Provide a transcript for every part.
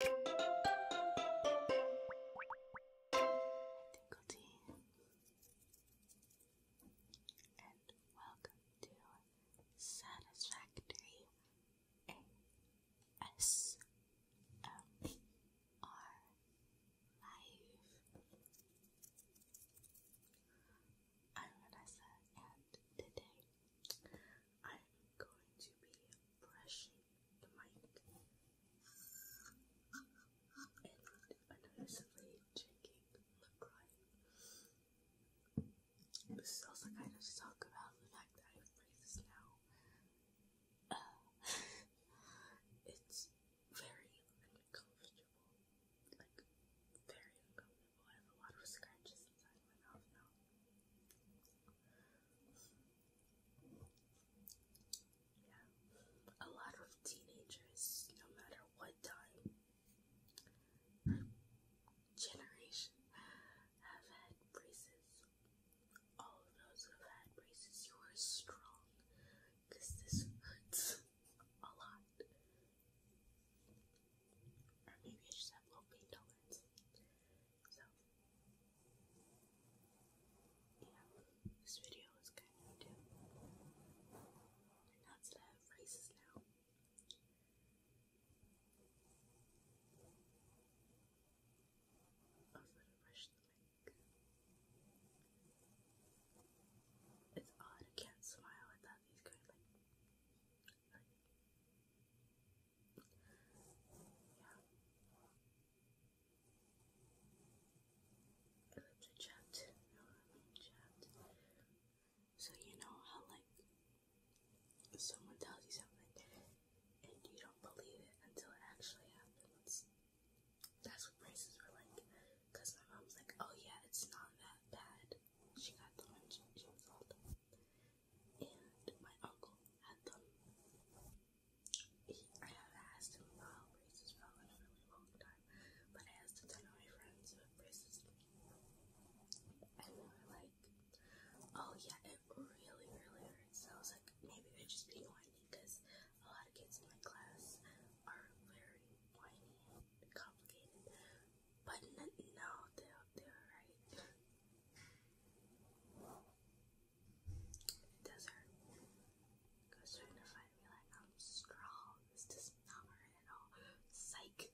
Tinkle Tea, and welcome to Satisfactory ASMR Live. I'm Vanessa, and today I'm going to be brushing the mic and noticeably checking the crying. This is also kind of talk about the fact that I have braces now. it's very uncomfortable. Like, very uncomfortable. I have a lot of scratches inside my mouth now. Yeah. A lot of teenagers, no matter what time generation, have had braces. All of those who have had braces, you are strong. Because this hurts a lot. Or maybe I just have low pain tolerance. So, yeah, this video is kind of dim. And that's the phrases now. I'm gonna rush the link. It's odd, I can't smile at that. He's kind of like yeah. Lips are chapped. So you know how like someone tells you something and you don't believe it until it actually happens. That's what braces were like. Cause my mom's like, oh yeah, it's not that bad. She got them she, was old. And my uncle had them. I have asked him about braces for a really long time, but I asked a ton of my friends who have braces, and they were like, "Oh yeah, it really, really hurts." So like, maybe they're just being whiny because a lot of kids in my class are very whiny complicated. But no, they're they're right. It does hurt. Because to find me like I'm strong. This does not hurt at all. Psych.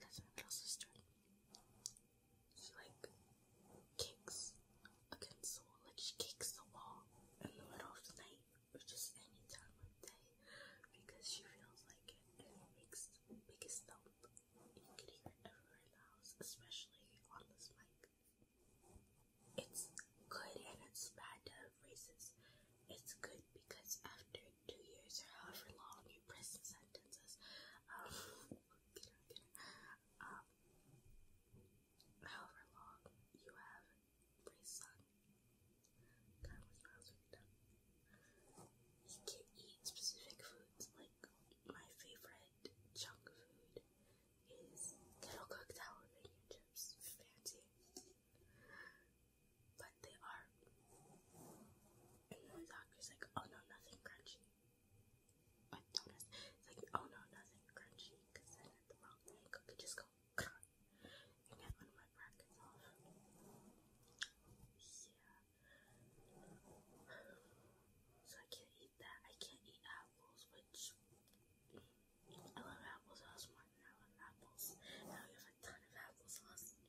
That's my little sister. She like kicks against the wall, like she kicks the wall in the middle of the night or just any time of day because she feels like it makes biggest thump. You can hear everywhere in the house, especially on this mic. It's good and it's bad to of It's good because after two years or however long your prison sentence is, um, um, however long you have prison, that can eat specific foods like my favorite junk food is kettle cooked aluminium chips, fancy but they are. And the doctor's like, oh no, nothing crunchy. like, oh no, nothing crunchy, because I had the wrong thing. I could just go and get one of my brackets off. Yeah. So I can't eat that. I can't eat apples, which I love applesauce more than I love apples. Now we have a ton of applesauce.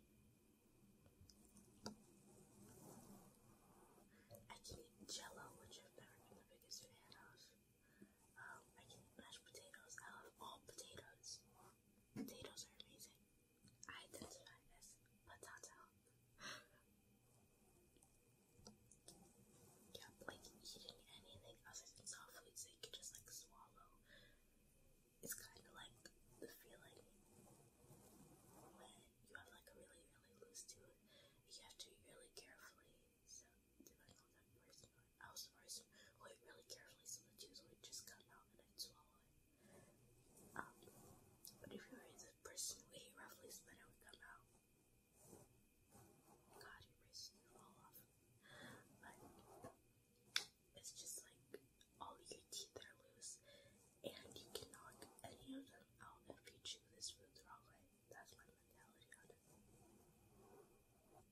I can eat jello, which I've never been the biggest fan of. Um, I can eat mashed potatoes. I love all potatoes. Potatoes are amazing. I identify as potato. yeah, like eating anything other than soft foods that you just like swallow it's kind of like the feeling when you have like a really, really loose tune. You have to really carefully. So, depending on that person, I was the person who really carefully, so the juice would just come out and I'd swallow it. Um, but if you were the person who ate roughly it would come out. God, your braces fall off it's just like all your teeth are loose, and you can knock any of them out if you chew this food the wrong way. That's my mentality Yeah.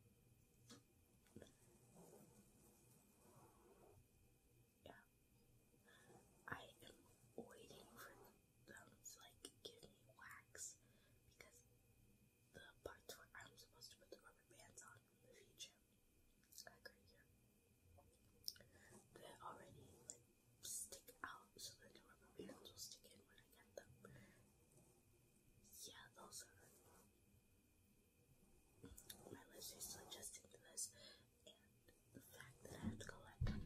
I am waiting for them to like give me wax because the parts where I'm supposed to put the rubber bands on in the future it's like they already like stick out so the rubber bands will stick in when I get them. Yeah, those are my list is suggesting to this the fact that I have to a lot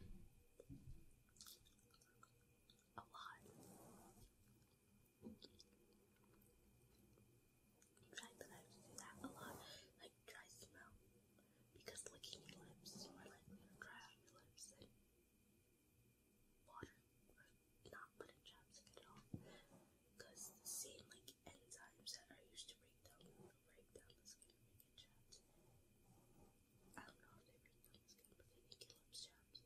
in fact, that I do that a lot, like dry smell, because licking your lips or like dry out your lips and water, not putting chapstick at all, because the same like enzymes that are used to break down break down the skin make it chapped. I don't know if they break down the skin, but they make your lips chapped.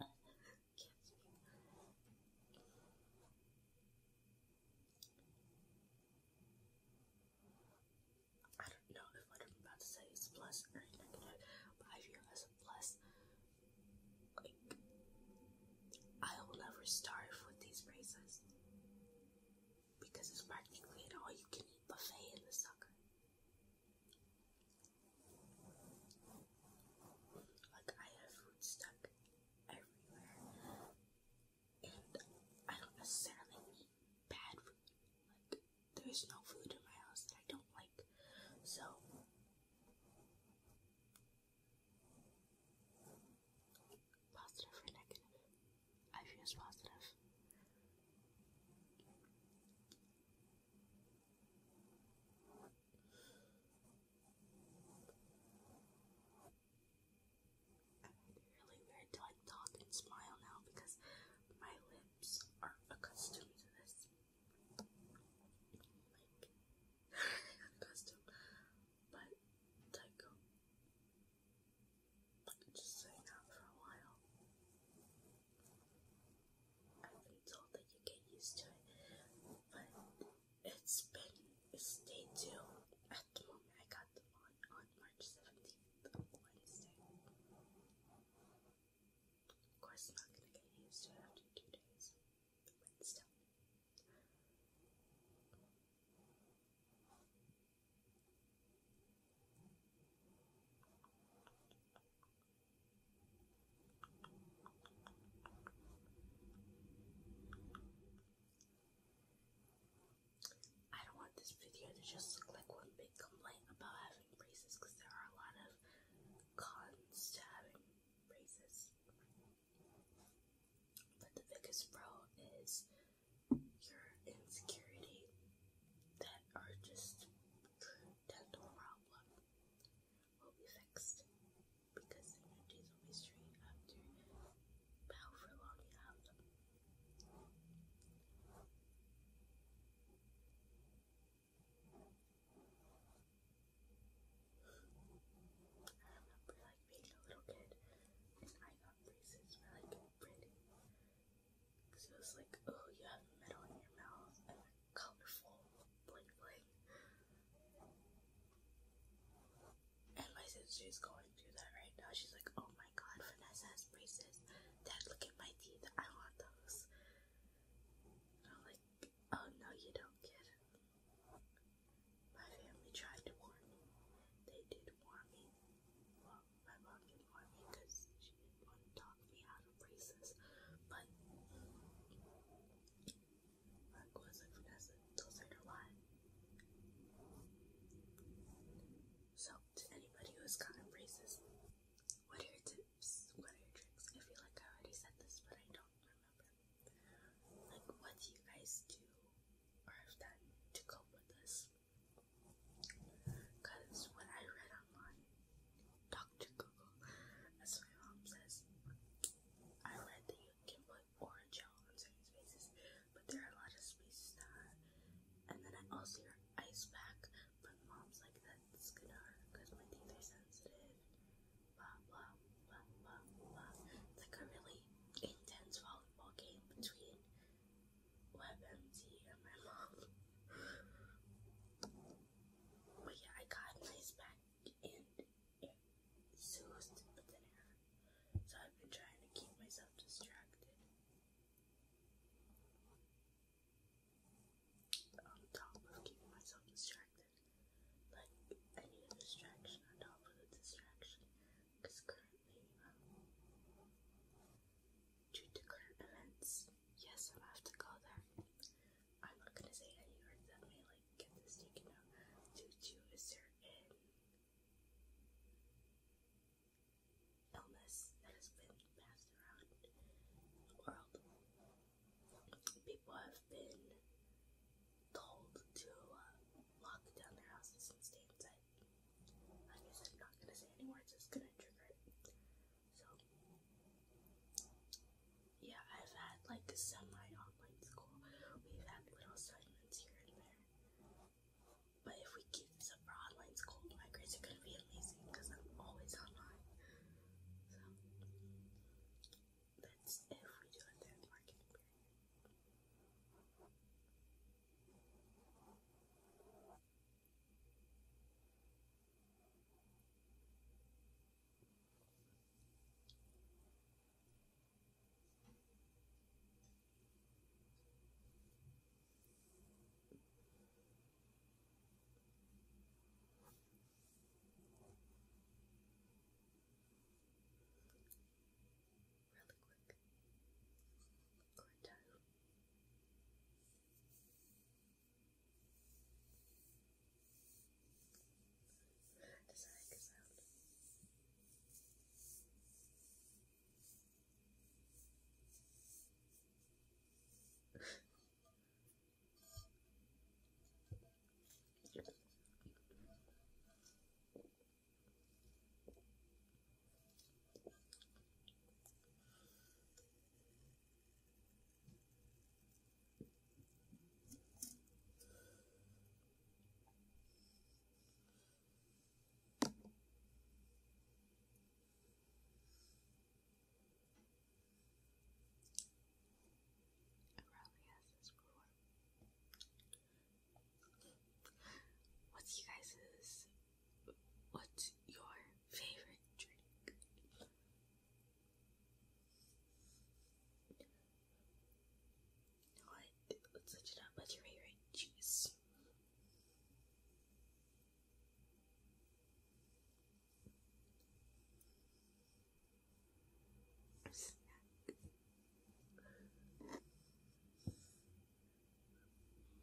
Can't I don't know if what I'm about to say is plus or negative, but I view as a plus. Like, I will never starve with these races because it's practically an all you can eat buffet in the sucker. Like, I have food stuck everywhere. And I don't necessarily eat bad food. Like, there's no food in my house that I don't like. So, positive or negative? I choose positive. I'm really weird to like talk and smile now because my lips are accustomed to this. Like, accustomed. But, like, just saying that for a while. I've been told that you get used to it, but it's been it's day two. At the moment, I got them on on March seventeenth Wednesday. Of course, I'm not gonna get used to it after two days, but still. I don't want this video to just look like one big complaint about having braces because there are a lot of cons to having braces. But the biggest pro is your insecurity that are just true dental problem will be fixed because the energies will be straight after however long you have I remember like being a little kid and I got braces for like printing. Because it was like, oh, you have metal in your mouth colorful, bling bling. And my sister's going through that right now. She's like, oh my god, Vanessa has braces. Dad, look at my teeth. I want those. I'm like, oh no, you don't, kid. My family tried to warn me. They did warn me. my mom did warn me because she didn't want to talk me out of braces. But Frank was a finesse until later life. So, to anybody who is kind of racist, what are your tips? What are your tricks? I feel like I already said this, but I don't remember. Like, what do you guys do or have done to cope with this? Because when I read online, Dr. Google, as my mom says, I read that you can put orange yellow in certain spaces, but there are a lot of spaces that are. And then I also hear ice pack, but mom's like, that's gonna hurt because my teeth are sensitive. Blah, blah, blah, blah, blah. It's like a really intense volleyball game between WebMD and my mom. But yeah, I got an ice pack and soothed with an air. So I've been trying to keep myself distracted. On top of keeping myself distracted. Like, I need a distraction on top of the distraction. Because currently, um, to current events, yes, I'm have to go there. I'm not gonna say any words that may like I can Due to a certain illness that has been passed around the world, people have been told to uh, lock down their houses and stay inside. I guess I'm not gonna say any words, it's gonna trigger it. So, yeah, I've had like a semi-online school. We've had little assignments here and there. But if we keep this up for online school, my grades are gonna be amazing because I'm always online. So that's if we do a third marketing Really quick. Or down. Does that make What's you guys's? What's your favorite drink? what? Let's switch it up. What's your favorite cheese?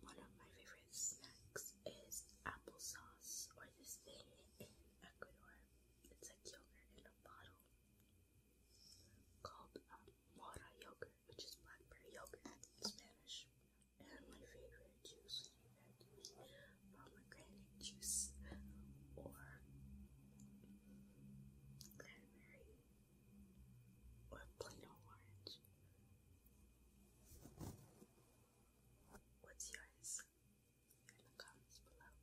One of my favorite snacks is applesauce or this thing in Ecuador. It's like yogurt in a bottle called Mora um, yogurt, which is blackberry yogurt in Spanish. And my favorite juice would pomegranate juice or cranberry or plain old orange. What's yours? in the comments below.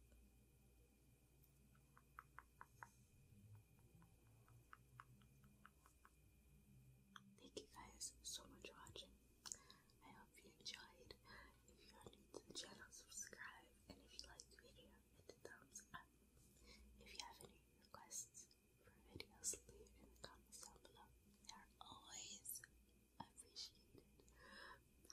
Thank you guys so much for watching. I hope you enjoyed. If you are new to the channel, subscribe. And if you like the video, hit the thumbs up. If you have any requests for videos, leave in the comments down below. always appreciated. Bye.